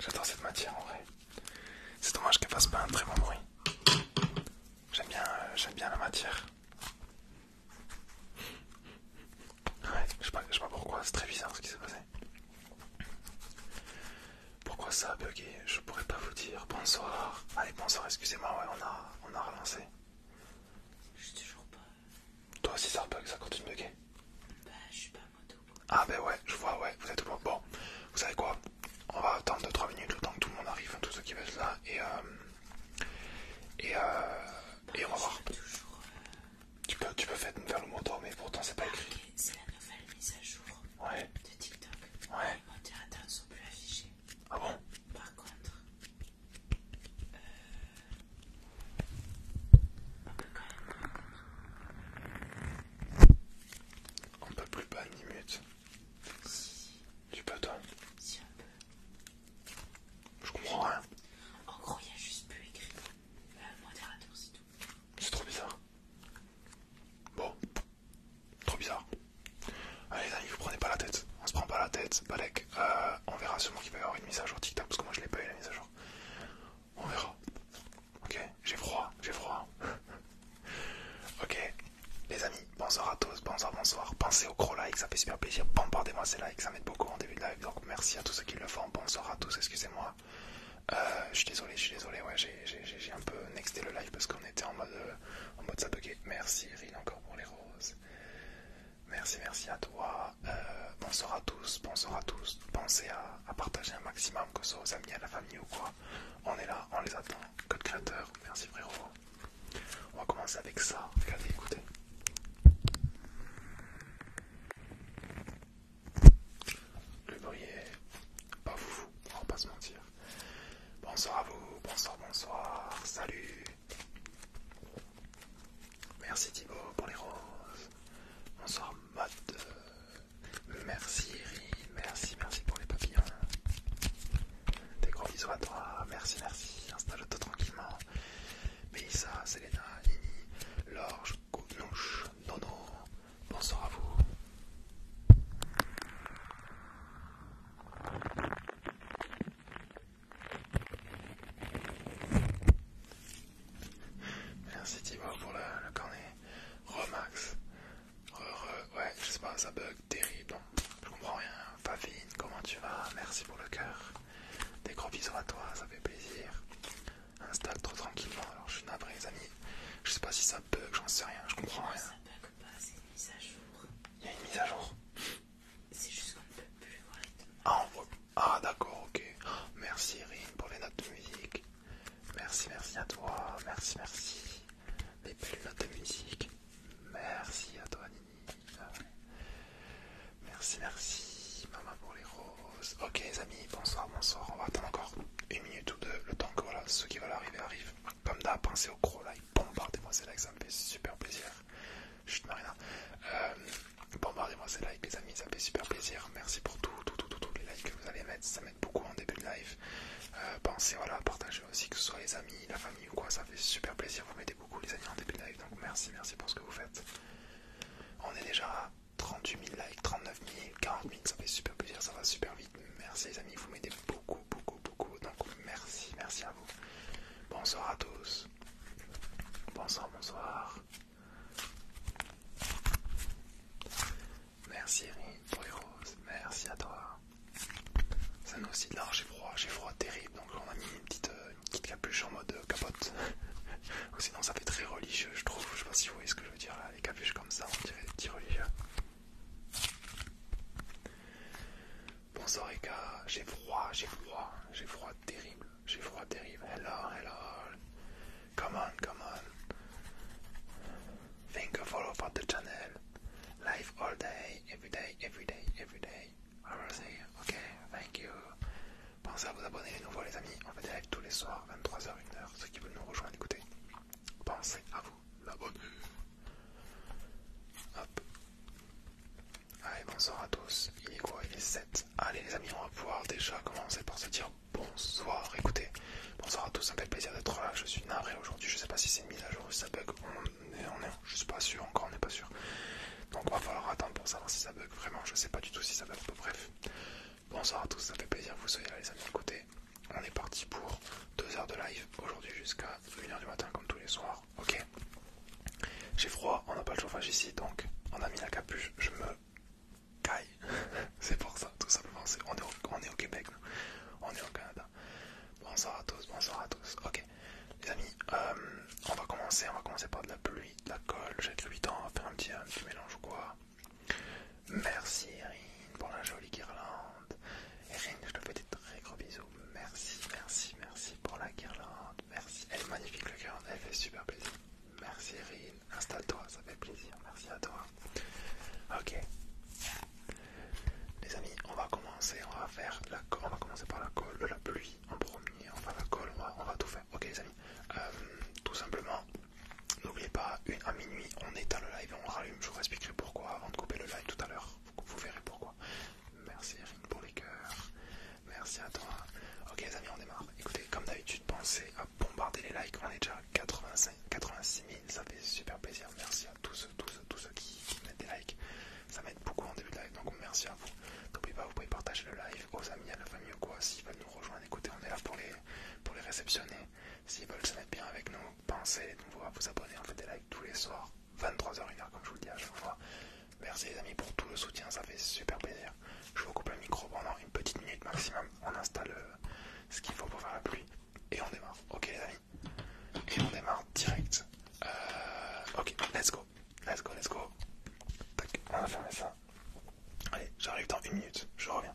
J'adore cette matière en vrai. C'est dommage qu'elle fasse pas un très bon bruit. J'aime bien, euh, bien la matière. Ouais, je sais pas, sais pourquoi, c'est très bizarre ce qui s'est passé. Pourquoi ça a Je pourrais pas vous dire. Bonsoir. Allez, bonsoir, excusez-moi, ouais, on a, on a relancé. Je suis toujours pas. Toi aussi, ça continue de bugger Bah, je suis pas moto. Ah, ben ouais, je vois, ouais, vous êtes tout Bon, vous savez quoi On va attendre 2-3 minutes le temps que tout le monde arrive, tous ceux qui veulent là, et euh. Et euh. et on va bah, voir. Euh, tu peux, tu peux faire, le moto, mais pourtant c'est pas ah, écrit. C'est la nouvelle mise à jour de TikTok. Ouais. Les modérateurs ne sont plus affichés. Ah bon Par contre, euh, on peut plus pas ni mute. Si. Tu peux, toi Si, on peut. Je comprends rien. En gros, il y a juste plus écrit. le euh, modérateur, c'est tout. C'est trop bizarre. Bon. Trop bizarre. Allez, les vous prenez pas la tête. On se prend pas la tête. Balek. Euh, on verra sûrement qu'il va y avoir une mise à jour TikTok parce que moi je l'ai pas eu la mise à jour. On verra. Ok, j'ai froid, j'ai froid. ok, les amis, bonsoir à tous, bonsoir, bonsoir. Pensez aux gros likes, ça fait super plaisir. Bombardez-moi ces likes, ça m'aide beaucoup en début de live. Donc merci à tous ceux qui le font. Bonsoir à tous, excusez-moi. Euh, je suis désolé, je suis désolé, ouais, j'ai un peu nexté le live parce qu'on était en mode, euh, en mode ça Merci Rine encore pour les roses. Merci, merci à toi. Euh, bonsoir à tous, bonsoir à tous. Pensez à, partager un maximum, que ce soit aux amis, à la famille ou quoi. On est là, on les attend. Code créateur, merci frérot. On va commencer avec ça. Regardez, écoutez. Le bruit est pas fou, on va pas se mentir. Bonsoir à vous, bonsoir, bonsoir, salut. Merci Thibaut pour les roses. Bonsoir Matt. Euh, merci Merci, merci pour les papillons. Des gros bisous à toi. Merci, merci. Installe-toi tranquillement. Mélissa, Selena, lini, Lorge, Gounouche, Nono. Bonsoir à vous. Merci Thibaut pour le, cornet. Remax. ouais, je sais pas, ça bug terrible. je comprends rien. Favine, comment tu vas Merci pour le cœur. Des gros bisous à toi, ça fait plaisir. Installe trop tranquillement. Alors je suis navré, les amis. Je sais pas si ça bug, j'en sais rien, je comprends rien. Ça bug pas, c'est une mise à jour. Il y a une mise à jour. C'est juste qu'on ne plus voir Ah, on ah d'accord, ok. Merci Irine pour les notes de musique. Merci, merci à toi. Merci, merci. Les plus notes de musique. Merci à toi Nini. Merci, merci. Maman pour les roses. Ok les amis, bonsoir, bonsoir. On va attendre encore une minute ou deux. Le temps que voilà, ceux qui veulent arriver arrivent. Comme d'hab, pensez au gros like. Bombardez-moi c'est que ça me fait super plaisir. Chut, Marina. Bon, euh, Bombardez-moi ces likes, les amis, ça fait super plaisir. Merci pour tout, tout, tout, les likes que vous allez mettre. Ça m'aide beaucoup en début de live. Euh, pensez, voilà, partager aussi, que ce soit les amis, la famille ou quoi, ça fait super plaisir. Vous mettez beaucoup, les amis, en début de live. Donc merci, merci pour ce que vous faites. On est déjà à 38 000 likes, 39 000, 40 000, ça fait super plaisir, ça va super vite. Merci, les amis, vous mettez beaucoup, beaucoup, beaucoup. Donc merci, merci à vous. Bonsoir à tous. Bonsoir, bonsoir. Merci pour les merci à toi. Ça nous aussi de large, j'ai froid, j'ai froid terrible, donc on a mis une petite, euh, capuche en mode euh, capote. Sinon ça fait très religieux, je trouve, je sais pas si vous voyez ce que je veux dire, là, les capuches comme ça, on dirait des religieux. Bonsoir les gars, j'ai froid, j'ai froid, j'ai froid terrible, j'ai froid terrible. Hello, hello. Come on, come on. Thank you for, the channel. Live all day, every day, every day, every day. you, Ok, thank you. Pensez à vous abonner les nouveaux les amis. On fait des lives tous les soirs, 23h, 1h. Ceux qui veulent nous rejoindre, écoutez. Pensez à vous l'abonner. Hop. Allez, bonsoir à tous. Il est quoi Il est 7. Allez, les amis, on va pouvoir déjà commencer par se dire bonsoir. Écoutez, bonsoir à tous. Ça fait plaisir d'être là. Je suis navré aujourd'hui. Je sais pas si c'est une mise à jour ou si ça bug. On est, on est, je suis pas sûr encore. On n'est pas sûr. Donc, va falloir attendre pour savoir si ça bug. Vraiment, je sais pas du tout si ça bug. bref. Bonsoir à tous. Ça fait plaisir. Vous soyez là, les amis. Écoutez, on est parti pour deux heures de live aujourd'hui jusqu'à 1h du matin, comme tous les soirs ok J'ai froid, on n'a pas le chauffage ici, donc on a mis la capuche, je me caille. c'est pour ça, tout simplement, On, est au... Québec, on est au Canada. Bonsoir à tous, bonsoir à tous. Ok, les amis, euh, on va commencer, on va commencer par de la pluie, de la colle, j'ai 8 ans, on va faire un petit, mélange quoi. Merci Erin pour la jolie guirlande. Erin, je te fais des très gros bisous. Merci, merci, merci pour la guirlande. Merci. Elle est magnifique le guirlande. Elle fait super plaisir. Merci Erin. Installe-toi, ça fait plaisir. Merci à toi. Ok. Les amis, on va commencer. On va faire la On va commencer par la colle, de la pluie en premier. Enfin la colle, on va, tout faire. Ok les amis. Euh, tout simplement, n'oubliez pas, à minuit, on éteint le live et on rallume. Je vous expliquerai pourquoi avant de couper le live tout à l'heure. vous verrez pourquoi. Merci pour les coeurs, Merci à toi. Ok les amis, on démarre. Écoutez, comme d'habitude, pensez à bombarder les likes. On est déjà à 86 000. Ça fait super plaisir. Merci à tous, tous, tous ceux qui, mettent des likes. Ça m'aide beaucoup en début de live. Donc merci à vous. N'oubliez pas, vous pouvez partager le live aux amis, à la famille ou quoi. S'ils veulent nous rejoindre, écoutez, on est là pour les, pour les réceptionner. S'ils veulent se mettre bien avec nous, pensez à vous abonner. On fait des likes tous les soirs. 23h, 1 comme je vous le dis à chaque fois. Merci les amis pour tout le soutien, ça fait super plaisir. Je vous coupe le micro pendant une petite minute maximum. On installe euh, ce qu'il faut pour faire la pluie. Et on démarre. Ok les amis. Et on démarre direct. Euh, ok, let's go. Let's go, let's go. on va fermer ça. Allez, j'arrive dans une minute. Je reviens.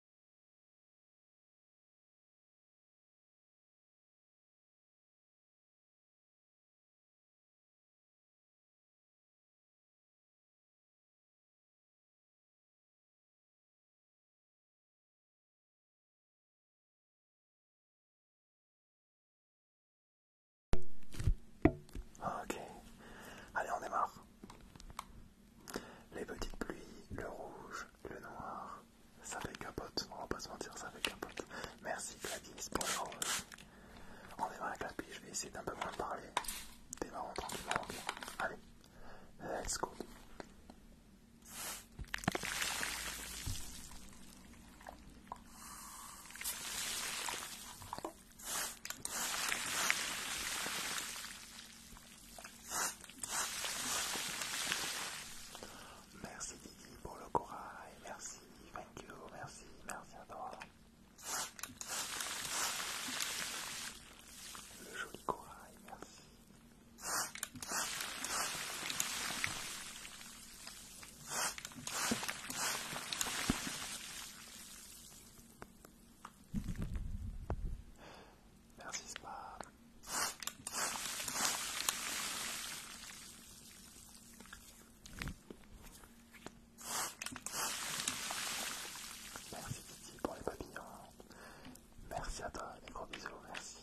Ok, allez on démarre. Les petites pluies, le rouge, le noir, ça fait capote, on va pas se mentir, ça fait capote. Merci Gladys pour On est vraiment la je vais essayer d'un peu moins parler. marrant, tranquillement, ok Allez, let's go. Merci Didi pour le corail, merci, thank you, merci, merci à toi. Le joli corail, merci. Merci Spam. Merci Titi pour les papillons. Merci à toi, les gros bisous, merci.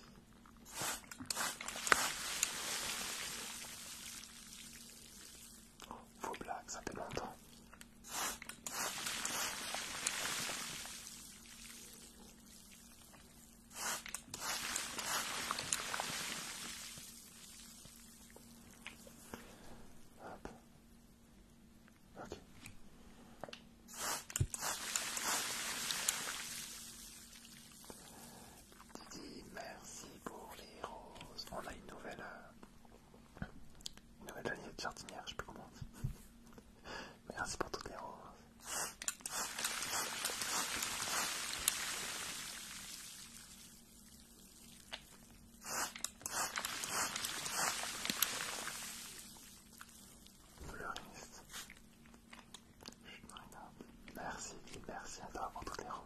Oh, vos blagues, ça fait longtemps. Didi, merci pour les roses. On a une nouvelle, euh, nouvelle de jardinière, je peux comment Merci pour toutes les roses. Fleuriste. Merci, merci à toi pour toutes les roses.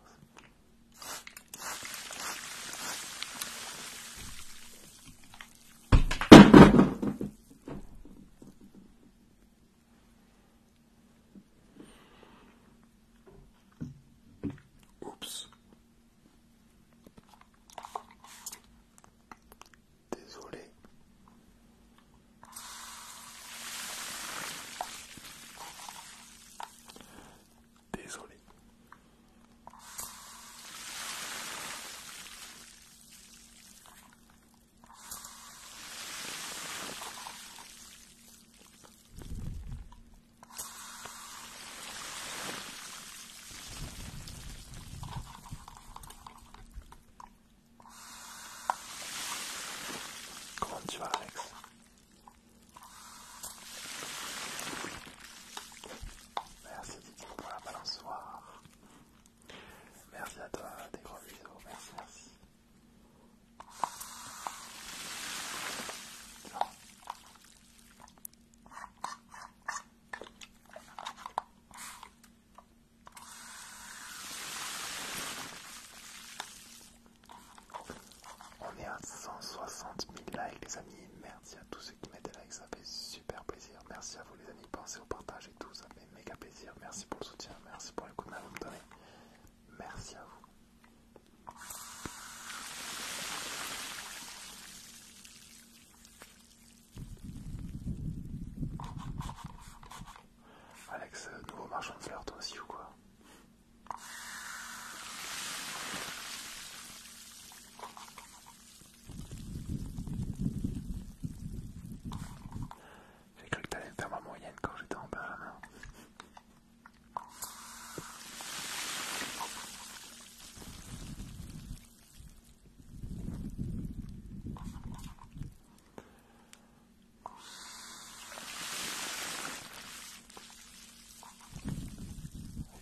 Oups. Désolé. Désolé. Comment tu vas, Alex Merci pour la balançoire. Merci à toi, des gros bisous, merci, merci. On est à 160 000 likes les amis, merci à tous ceux qui mettent des likes, ça fait super plaisir, merci à vous les amis, pensez au partage, ça fait méga plaisir. Merci pour le soutien, merci pour l'écoute coups que vous me donnez. Merci à vous. Alex, euh, nouveau marchand de fleurs, toi aussi ou quoi j'ai cru que t'allais me faire ma moyenne quand j'étais en bas.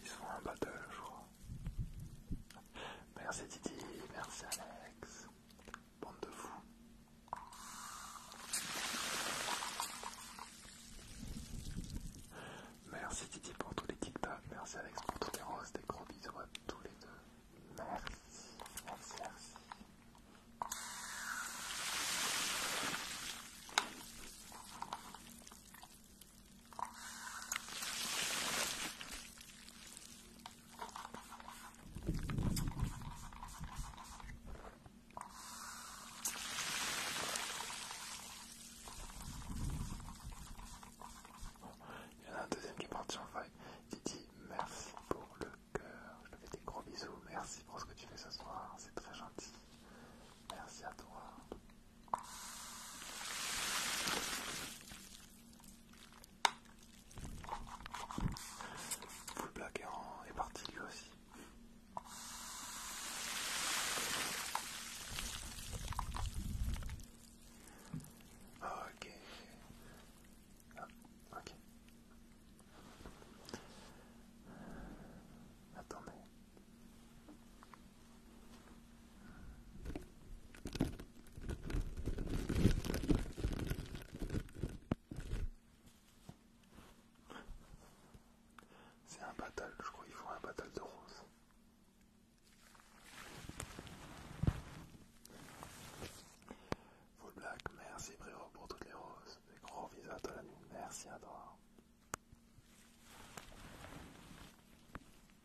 Ils sont en battle, je crois. Merci Didi, merci Alex. Bande de fous. Merci Titi pour tous les TikTok, merci Alex pour tous les roses, des gros bisous à tous les deux. Merci, merci, merci. Il y en a un deuxième qui est parti en file, Il dit merci pour le cœur. Je te fais des gros bisous. Merci pour ce que tu fais ce soir. C'est très gentil. Merci à toi vous blaguez, est, est parti lui aussi. Ah, ok. Ah, ok. Attendez. C'est un battle, je crois qu'il faut un battle de roses. Full Black, merci Bréro pour toutes les roses. Des gros bisous à la nuit, merci à toi.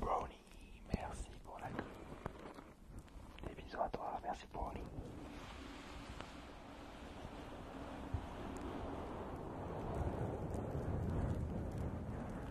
Brownie, merci pour la crue. Des bisous à toi, merci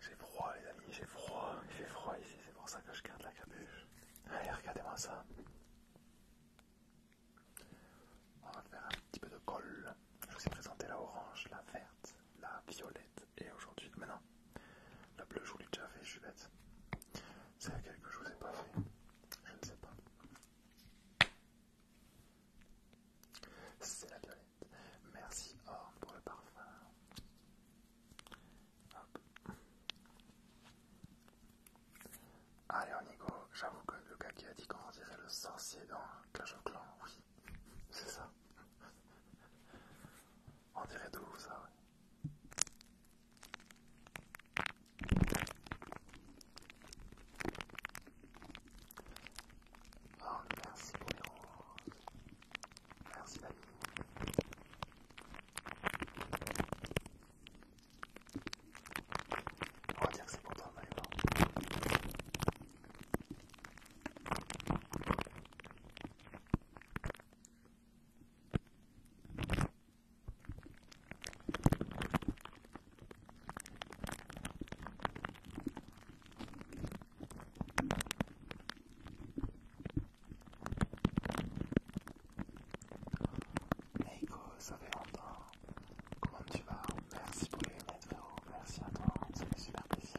J'ai froid les amis, j'ai froid, il fait froid ici, c'est pour ça que je garde la capuche. Allez, regardez-moi ça. On va faire un petit peu de colle. Je vous ai présenté la orange, la verte, la violette et aujourd'hui... maintenant la bleue je vous l'ai déjà fait, je suis bête. C'est laquelle que je vous ai pas fait Je ne sais pas. C'est la violette. Merci Or pour le parfum. Hop. Allez Onigo, j'avoue que le gars qui a dit qu'on dirait le sorcier dans Clash of Clans, oui, c'est ça. On dirait de ça, Oh, merci pour Merci Dali. On va dire que c'est pour toi, Maïva. Neiko, ça fait longtemps. Comment tu vas Merci pour les maîtres euros. Merci à toi, ça fait super plaisir.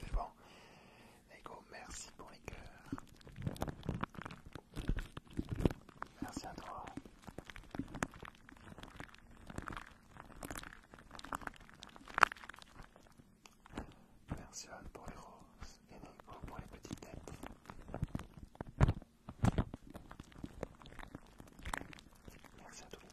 C'est bon. Lego, merci pour les cœurs. Merci à toi. Merci à toi pour les roses et merci pour les petites têtes. Merci à tous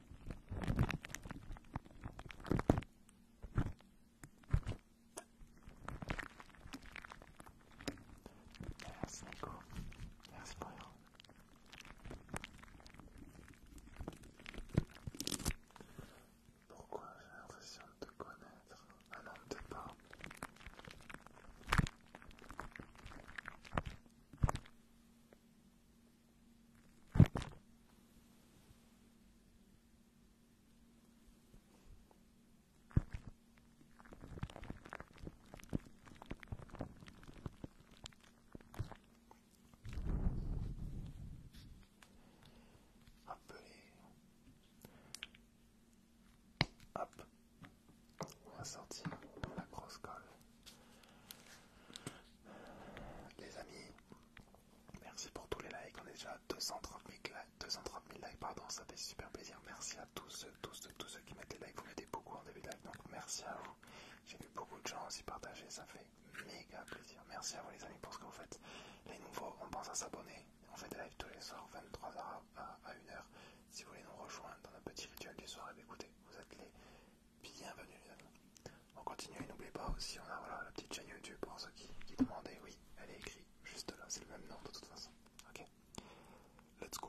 Merci Nico, merci Brian. Pourquoi j'ai l'impression de te connaître un homme de être appelez la grosse colle. Les amis, merci pour tous les likes. On est déjà à 230 000 likes, 230 likes pardon, ça fait super plaisir. Merci à tous ceux, tous, tous ceux qui mettent les likes. Vous mettez beaucoup en début de live, donc merci à vous. J'ai vu beaucoup de gens aussi partager, ça fait méga plaisir. Merci à vous les amis pour ce que vous faites. Les nouveaux, on pense à s'abonner. On fait des lives tous les soirs, 23h à 1h. Si vous voulez nous rejoindre dans un petit rituel du soir, eh écoutez, vous êtes les bienvenue. On continue et n'oubliez pas aussi, on a la petite chaîne YouTube pour ceux qui, qui demandaient. Oui, elle est écrite juste là, c'est le même nom de toute façon. Ok, let's go.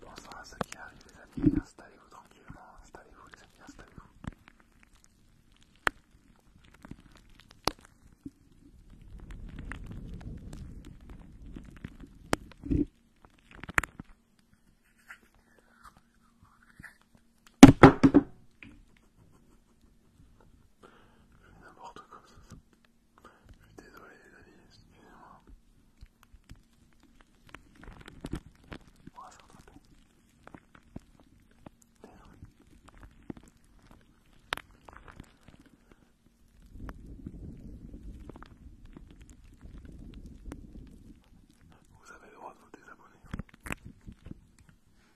Bonsoir à ceux qui arrivent les amis, installez-vous tranquillement, installez-vous les amis, installez-vous. N'importe quoi, ça. Je suis désolé, les amis, excusez-moi. On va s'entraîner. Désolé. Vous avez le droit de vous désabonner. Hein.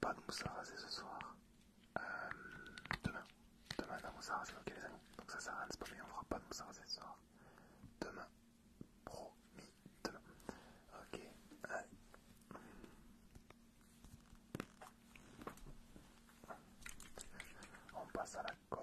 Pas de mousse à raser ce soir. Euh, demain. Demain, la mousse à raser, ok les amis. Donc ça sert à rien de on fera pas de mousse à raser ce soir. Demain. Promis. Demain. Ok. On passe à la colle.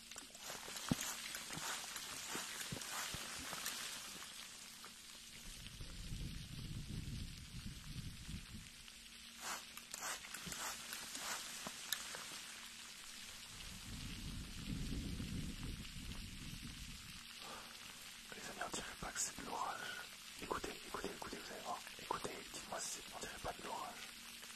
Les amis, on dirait pas que c'est de l'orage. Écoutez, écoutez, écoutez, vous allez voir. Écoutez, dites-moi si on dirait pas de l'orage.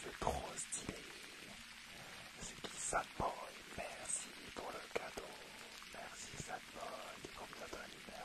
C'est trop stylé. C'est qui Sadboy Merci pour le cadeau. Merci Sadboy qui combien de merci.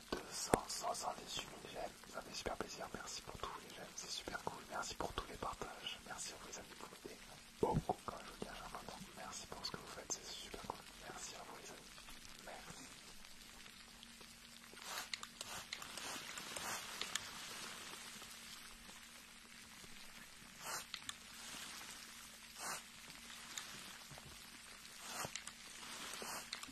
278 000 j'aime, ça fait super plaisir, merci pour tous les j'aime, c'est super cool, merci pour tous les partages, merci à vous les amis, vous m'aidez beaucoup quand je vous dis à merci pour ce que vous faites, c'est super cool, merci à vous les amis, merci.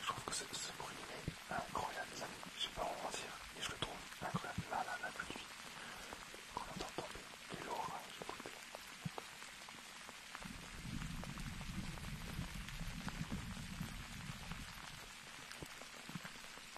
Je trouve que ce, ce bruit est incroyable, les amis. Je vais pas en mentir mais je le trouve incroyable. Là, là, la pluie, qu'on entend tomber et l'orage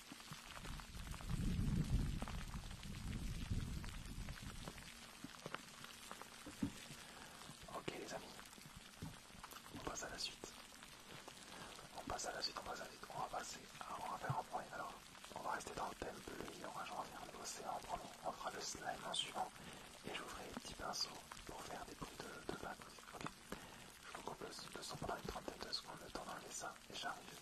Ok les amis, on passe à la suite. On passe à la suite, on passe à la suite. On va passer, à, on va faire un point. Alors, on va rester dans le thème bleu et on va faire l'océan en premier. On fera le slime en suivant et je vous ferai des pinceaux pour faire des bruits de, de aussi. Ok, je vous coupe le, le son pendant une trentaine de secondes, le temps d'enlever ça et j'arrive.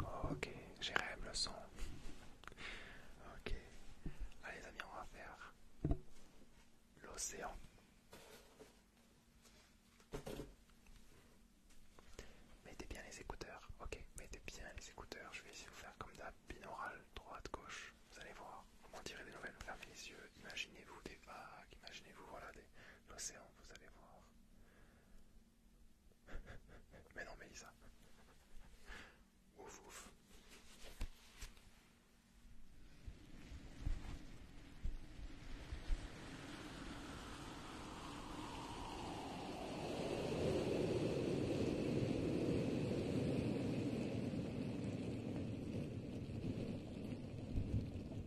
Oh, ok, j'ai rêvé le son. Ok, allez les amis, on va faire l'océan. Mettez bien les écouteurs. Ok, mettez bien les écouteurs. Je vais essayer de vous faire comme d'hab, binaural, droite, gauche. Vous allez voir. Comment en tirer des nouvelles, fermez les yeux, imaginez-vous des vagues, imaginez-vous voilà, l'océan, vous allez voir. mais non, Mélissa. Ouf, ouf.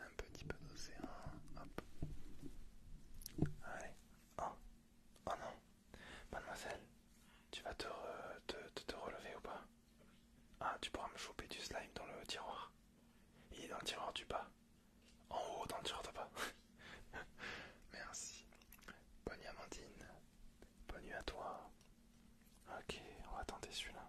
un petit peu d'océan, hop. Allez, oh, oh non, mademoiselle, tu vas te, te, relever ou pas Ah, tu pourras me choper du slime dans le tiroir. Il est dans le tiroir du bas, en haut dans le tiroir de bas. Merci. Bonne nuit Amandine. Bonne nuit à toi. Ok, on va tenter celui-là.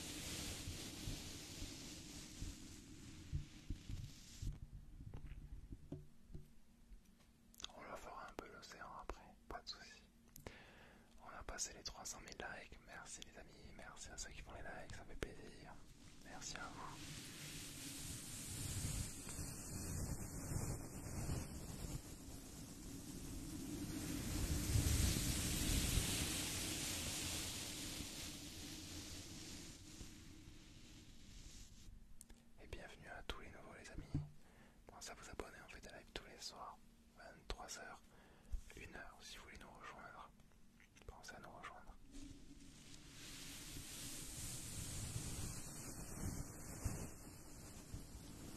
On leur fera un peu l'océan après, pas de soucis. On a passé les 300 000 likes, merci les amis, merci à ceux qui font les likes, ça fait plaisir. Merci à vous. Et bienvenue à tous les nouveaux les amis. Pensez à vous abonner, on fait des lives tous les soirs, 23h, 1h si vous voulez nous rejoindre. Pensez à nous rejoindre.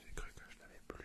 J'ai cru que je l'avais plus.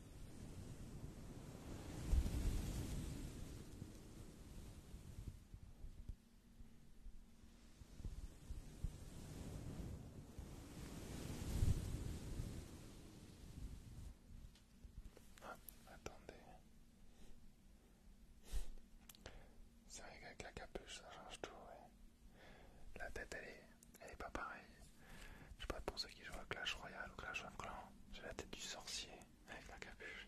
attendez. C'est vrai qu'avec la capuche, ça change tout, La tête, elle est, elle est pas pareille. Je sais pas pour ceux qui jouent à Clash Royale ou Clash of Clans, j'ai la tête du sorcier avec la capuche.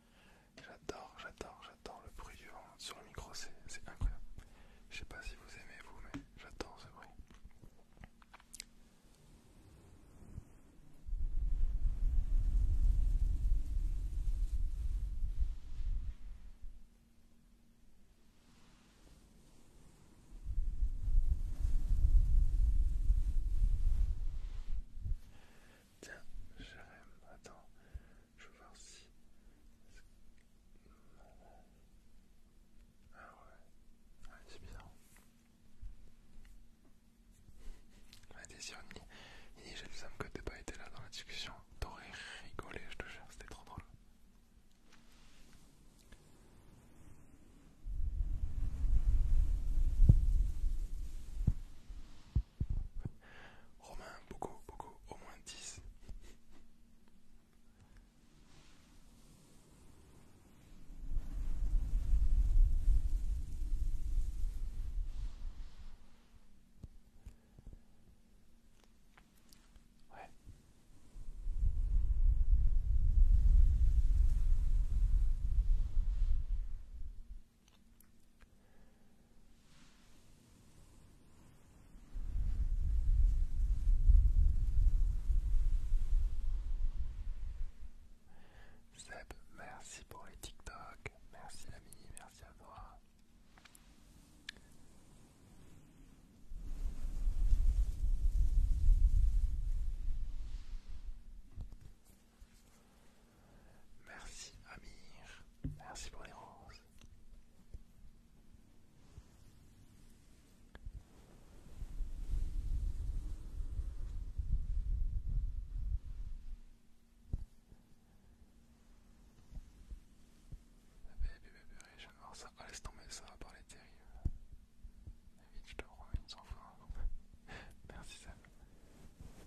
J'adore, j'adore, j'adore le bruit du vent sur le micro, c'est incroyable. Je sais pas si vous aimez vous, mais j'adore ce bruit. Tiens, Jérém, attends, je vais voir si. Ah ouais, ouais c'est bizarre. Ouais, Désironie, il j'ai jaloux que t'as pas été là dans la discussion. T'aurais rigolé, je te jure, c'était trop drôle. Romain, beaucoup, beaucoup, au moins dix. Seb, merci pour les TikTok, merci la mini, merci à toi. Merci Amir, merci pour les roses. Bébé, bébé, je viens de voir ça. Ah, laisse tomber, ça va parler terrible. Vite, je te promets, une sans fin. Merci Sam.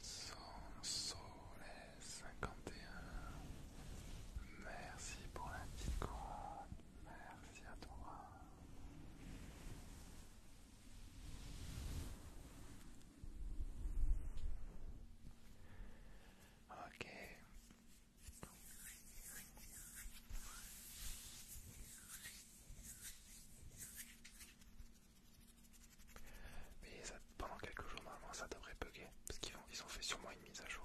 Sanso 51 Merci pour la petite couronne Merci à toi Ok mais pendant quelques jours, normalement, ça devrait bugger. Parce qu'ils ont, fait sûrement une mise à jour.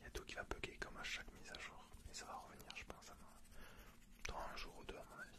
Il y a tout qui va bugger comme à chaque mise à jour. Mais ça va revenir, je pense, dans un jour ou deux, à mon avis.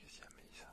Qu'est-ce y a,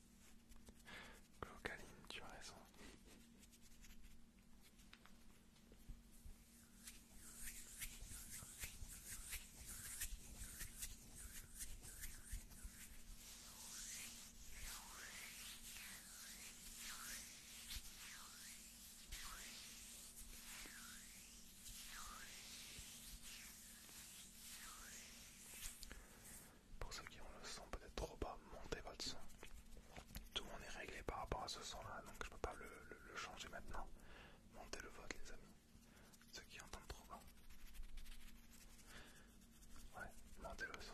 Glocaline, tu as raison. Pour ceux qui ont le son peut-être trop bas, montez votre son. Tout le monde est réglé par rapport à ce son-là, donc je peux pas le, changer maintenant. Montez le vote, les amis. Ceux qui entendent trop bas. Ouais, montez le son.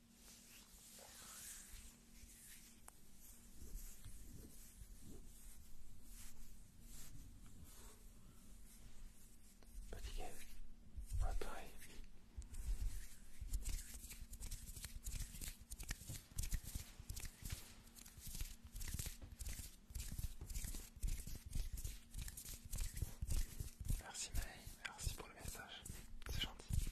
Petit Fatigué pas pareil. Merci May, merci pour le message, c'est gentil.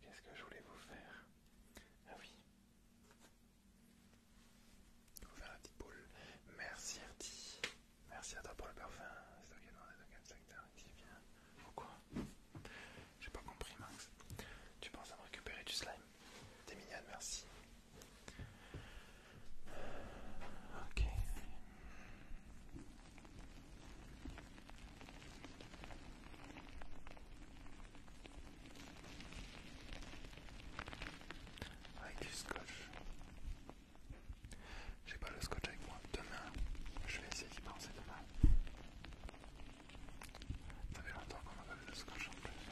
Qu'est-ce que je voulais vous faire Ah oui. Vous faire la petite boule. Merci Artie, Merci à toi pour le parfum. C'est secteur. qui as bien. Pourquoi J'ai pas compris Max. Tu penses à me récupérer du slime T'es mignonne, merci. Ok. Avec du scotch. J'ai pas le scotch avec moi. Demain, je vais essayer d'y penser demain. Ça fait longtemps qu'on n'a pas vu le scotch en plus.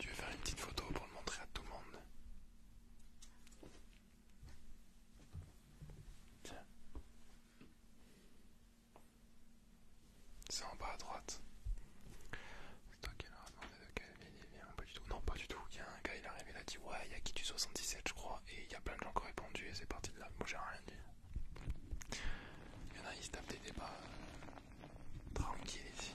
Tu veux faire une petite photo pour le montrer à tout le monde c'est en bas à droite. C'est toi qui demandé de quelle ville il Pas du tout. Non, pas du tout. Il y a un gars, il arrivé il a dit Ouais, il y a qui tu 77, je crois. Et il y a plein de gens qui ont répondu et c'est parti de là. Moi, j'ai rien dit. Il y en a, ils se tapent des débats euh, tranquilles ici.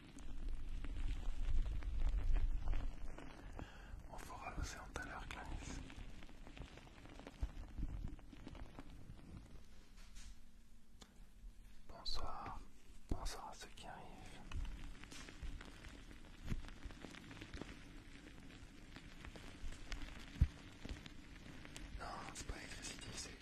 On fera l'océan tout à l'heure, Clarisse. Bonsoir, bonsoir à ceux qui arrivent. Non, c'est pas l'électricité, c'est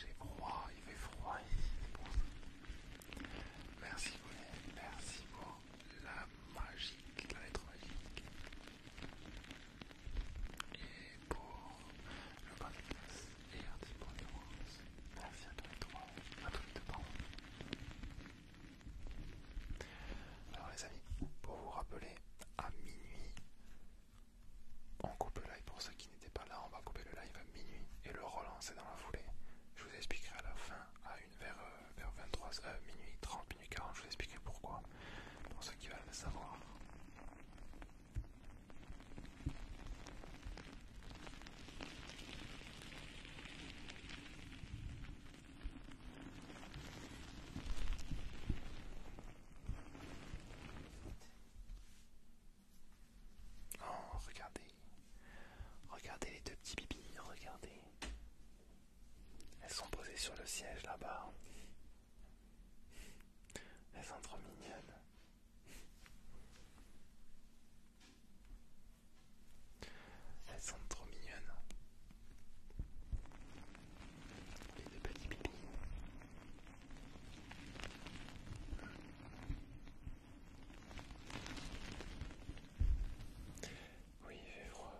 j'ai froid, il fait froid ici, c'est pour Merci Colin, merci pour la magie, la lettre magique. Et pour le podcast et un petit merci à tous à Alors les amis, pour vous rappeler, à minuit, on coupe le live pour ceux qui n'étaient pas là, on va couper le live à minuit et le relancer dans la foulée. Je vous expliquerai à la fin, à une vers, euh, vers 23h, euh, minuit 30, Hein. je vous expliquer pourquoi, pour ceux qui veulent le savoir. Oh, regardez, regardez les deux petits bibis, regardez. Elles sont posées sur le siège là-bas. Elles sont trop mignonnes. Elles sont trop mignonnes. Les deux petits bébés. Oui, il froid.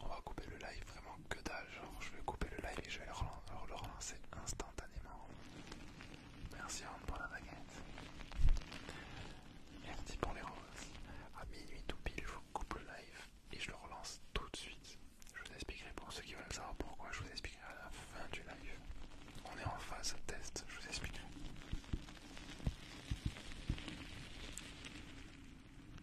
On va couper le live vraiment que dalle, genre je vais couper le live et je vais le relancer, instantanément. Merci Rand pour la baguette. Merci pour les roses. À minuit tout pile, je vous coupe le live et je le relance tout de suite. Je vous expliquerai pour ceux qui veulent savoir pourquoi, je vous expliquerai à la fin du live. On est en phase test, je vous expliquerai.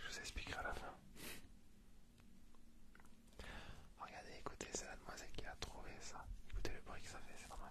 Je vous expliquerai à la fin. Regardez, écoutez, c'est la demoiselle qui a trouvé ça. Écoutez le bruit que ça fait, c'est normal.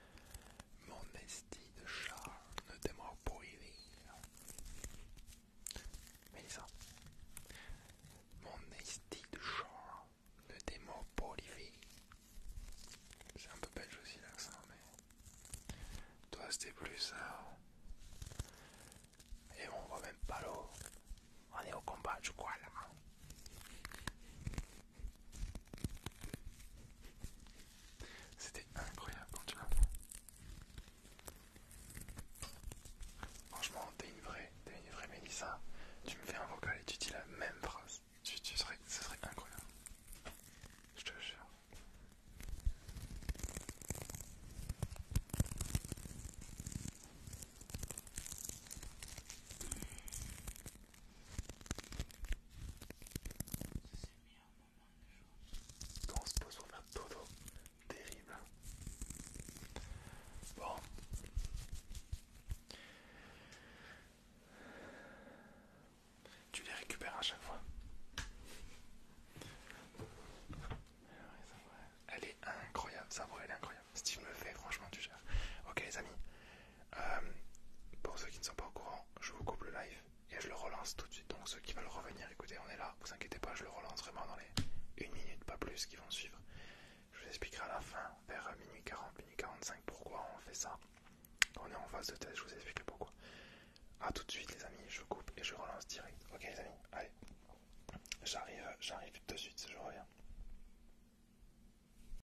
Mon esti de char ne demeure pas mais ça. Mon esti de char ne démord pas les C'est un peu belge aussi l'accent, mais. Toi c'était plus ça. Et on voit même pas l'eau. On est au combat, je crois là. C'était incroyable quand tu l'as fait. Franchement, t'es une vraie, vraie Mélissa. Tu me fais un vocal et tu dis la même phrase. ce serait incroyable. Je te jure on se pose pour faire dodo, terrible. Bon. Tu les récupères à chaque fois. Elle est incroyable, ça voix elle est incroyable. Steve me fait, franchement, tu gères. Ok, les amis, euh, pour ceux qui ne sont pas au courant, je vous coupe le live et je le relance tout de suite. Donc ceux qui veulent revenir, écoutez, on est là, vous inquiétez pas, je le relance vraiment dans les 1 minute, pas plus, qui vont suivre. Je vous expliquerai à la fin, vers minuit 40, minuit 45, pourquoi on fait ça. On est en phase de test, je vous explique pourquoi. A tout de suite les amis, je coupe et je relance direct. Ok les amis, allez. J'arrive, j'arrive de suite, je reviens.